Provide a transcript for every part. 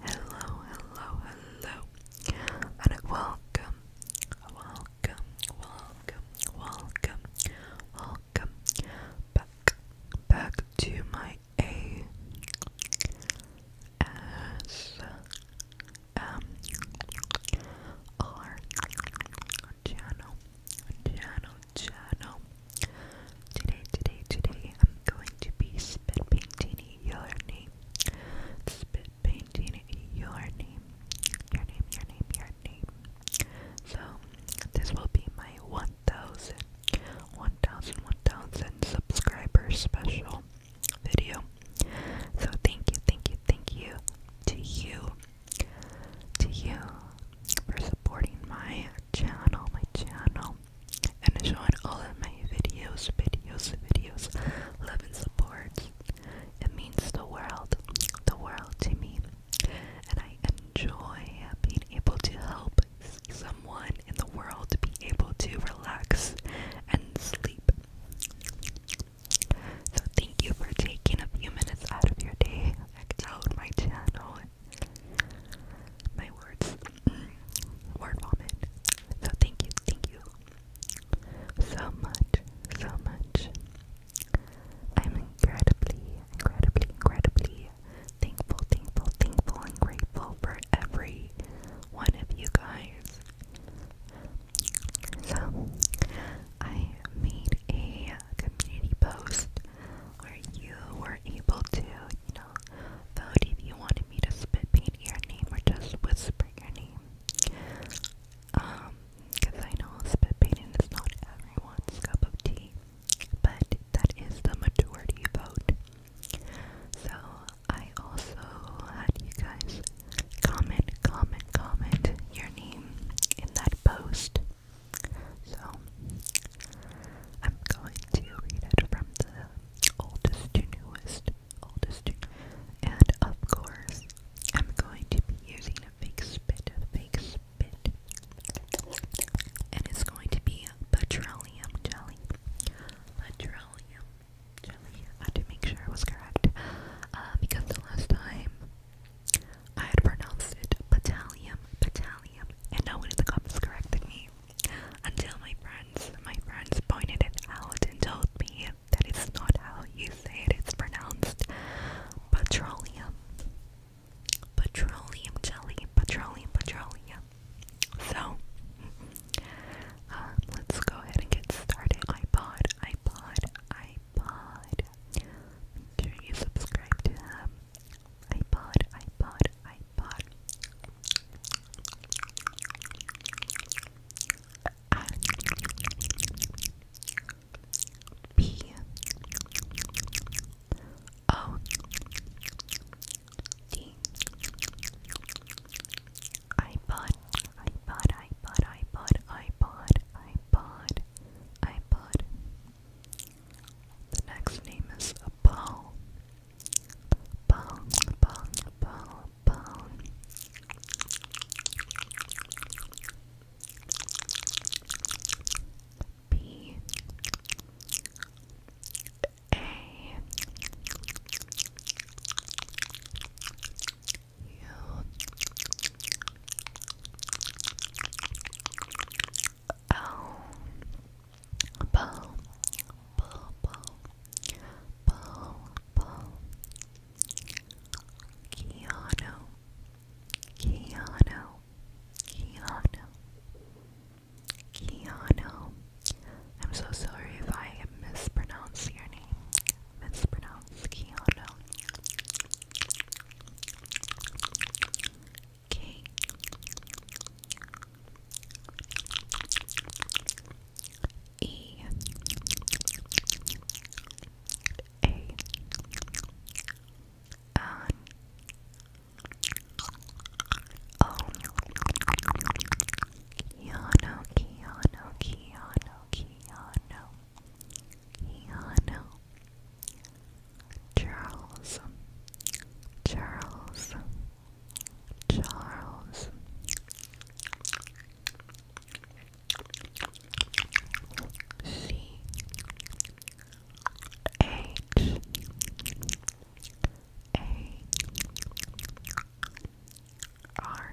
Hello, hello, hello, and welcome, welcome, welcome, welcome, welcome back, back to my A S M R channel, channel, channel. Today, today, today, I'm going to be spit painting your name. Spit painting your name. Your name, your name, your name. So, this will be my 1,000, 1,000, 1,000 subscriber special video. So, thank you, thank you, thank you to you, to you for supporting my channel, my channel and join all of my videos, videos, videos, love and support. It means the world, the world to me. And I enjoy being able to help someone in the world be able to relax and sleep. So thank you for taking a few minutes out of your day. to Check out my channel my words, mm. word vomit. So thank you, thank you so much, so much. I'm incredibly, incredibly, incredibly thankful, thankful, thankful, and grateful for every one of you guys. So, I made a community post where you were able to, channel. Vote if you wanted me to spit paint your name or just whisper your name. Um, because I know spit painting is not everyone's cup of tea, but that is the majority vote. So, I also had you guys comment, comment, comment your name in that post. So, I'm going to read it from the oldest to newest, oldest to and of course, I'm going to be using a fake spit, a fake spit, and it's going to be petroleum jelly, petroleum jelly. I had to make sure I was correct, uh, because the last time I had pronounced it battalion, battalion, and no one in the comments corrected me until my friends my friends pointed it out and told me that it's not how you say it's pronounced petroleum. Petroleum jelly, petroleum, petroleum. So, um, let's go ahead and get started. iPod, iPod, iPod. Make you subscribe to them. Um, iPod, iPod, iPod. I P O D iPod, iPod, iPod, iPod, iPod, iPod, iPod, the next name is Paul. Paul, Oh, bull, bull, bull, bull, bull. Keanu, Keanu, Keanu, I'm so sorry if I mispronounce your name. Mispronounce Keanu. Okay. E A N O Keanu, Keanu, Keanu, Keanu, Charles, Charles, Charles. C H A R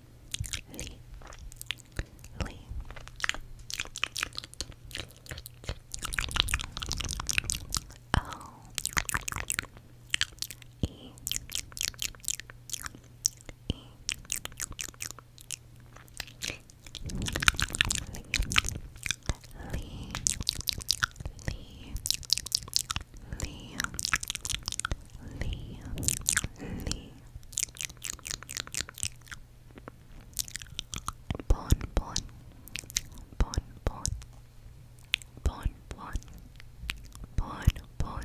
Lee. Lee. O. E. E. Lee. Lee. Lee. Lee. Lee, Lee. Bon, bon, bon, bon, bon, bon, bon, bon, bon, bon,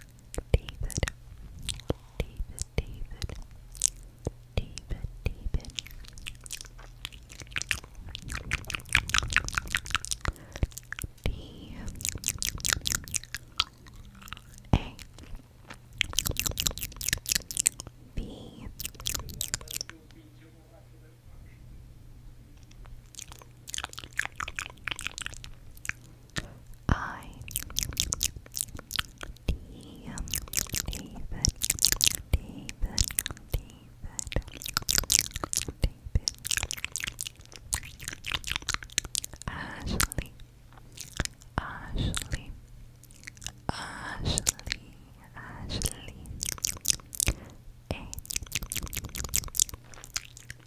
David, David, David, David, David, D A B I D David David David David Ashley Ashley Ashley Ashley A S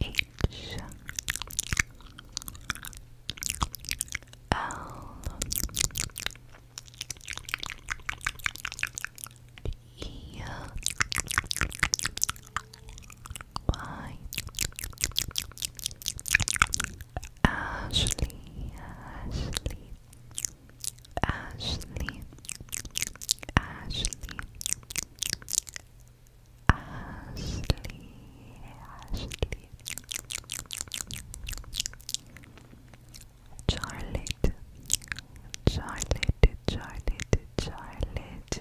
H L E Y Ashley Ashley Ashley, Ashley, Ashley, Ashley, Charlotte, Charlotte, Charlotte, Charlotte.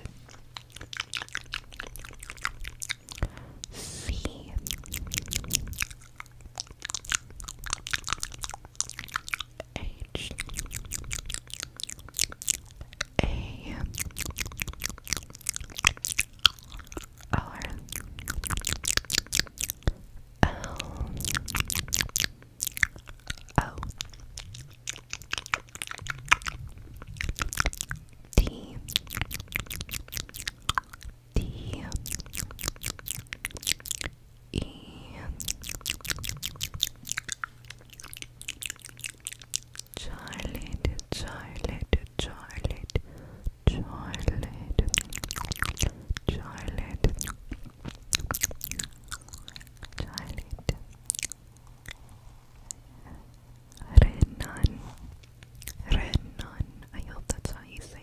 C H A R L O D D E Charlotte, Charlotte, Charlotte, Charlotte, Charlotte, Charlotte, Renan, Renan. I hope that's how you say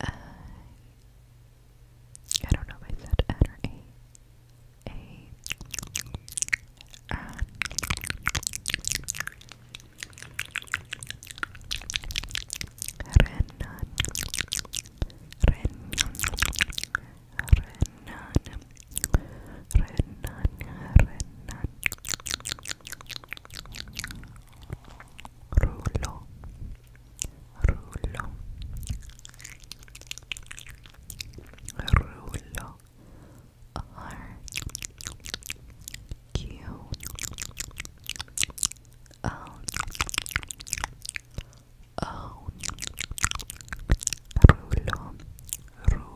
I uh, I don't know if I said N or A. A. Uh, Renan. Renan. Renan. Renan. Renan rullo rullo R Q L O rullo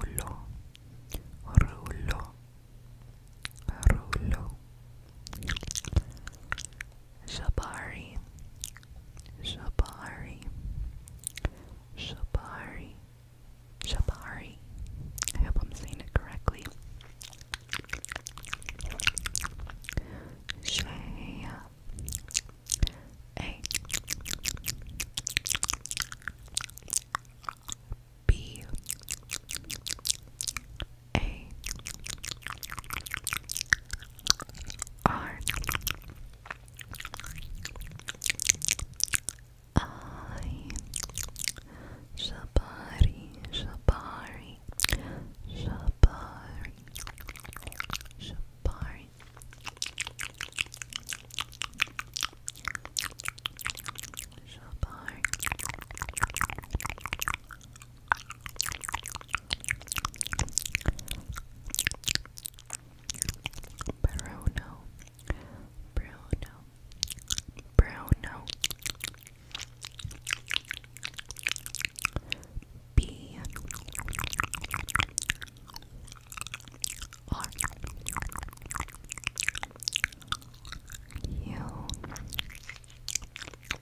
rullo rullo Rulo Jabari Jabari Jabari Jabari I hope I'm saying it correctly Shea A B a R I Shabari Shabari Shabari Shabari Shabari Bruno, Bruno, Bruno. B R U um, oh.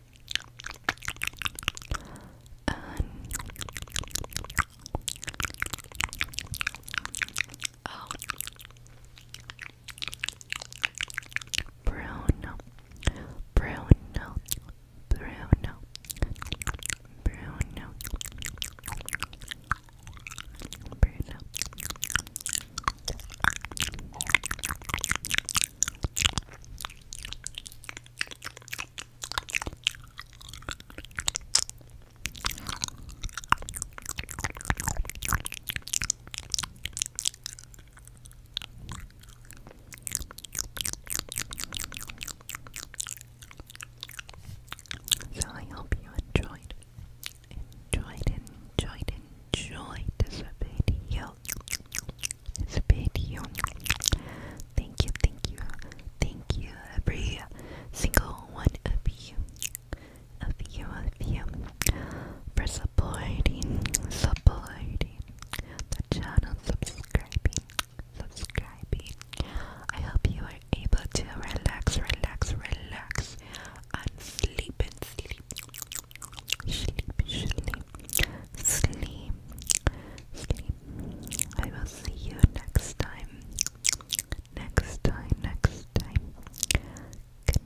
Bruno, Bruno, Bruno, Bruno, Bruno, so I hope you enjoyed enjoyed, enjoyed, enjoyed this video. This video. Thank you, thank you, thank you, every single one of you, of you, of you, for supporting, supporting the channel, subscribing, subscribing. I hope you are able to relax, relax, relax, and sleep and sleep. Sleep, sleep, sleep, sleep. I will see you next time. Next time, next time. Good night.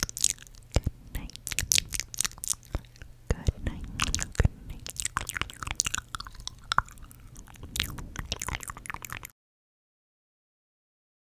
Good night. Good night. Good night.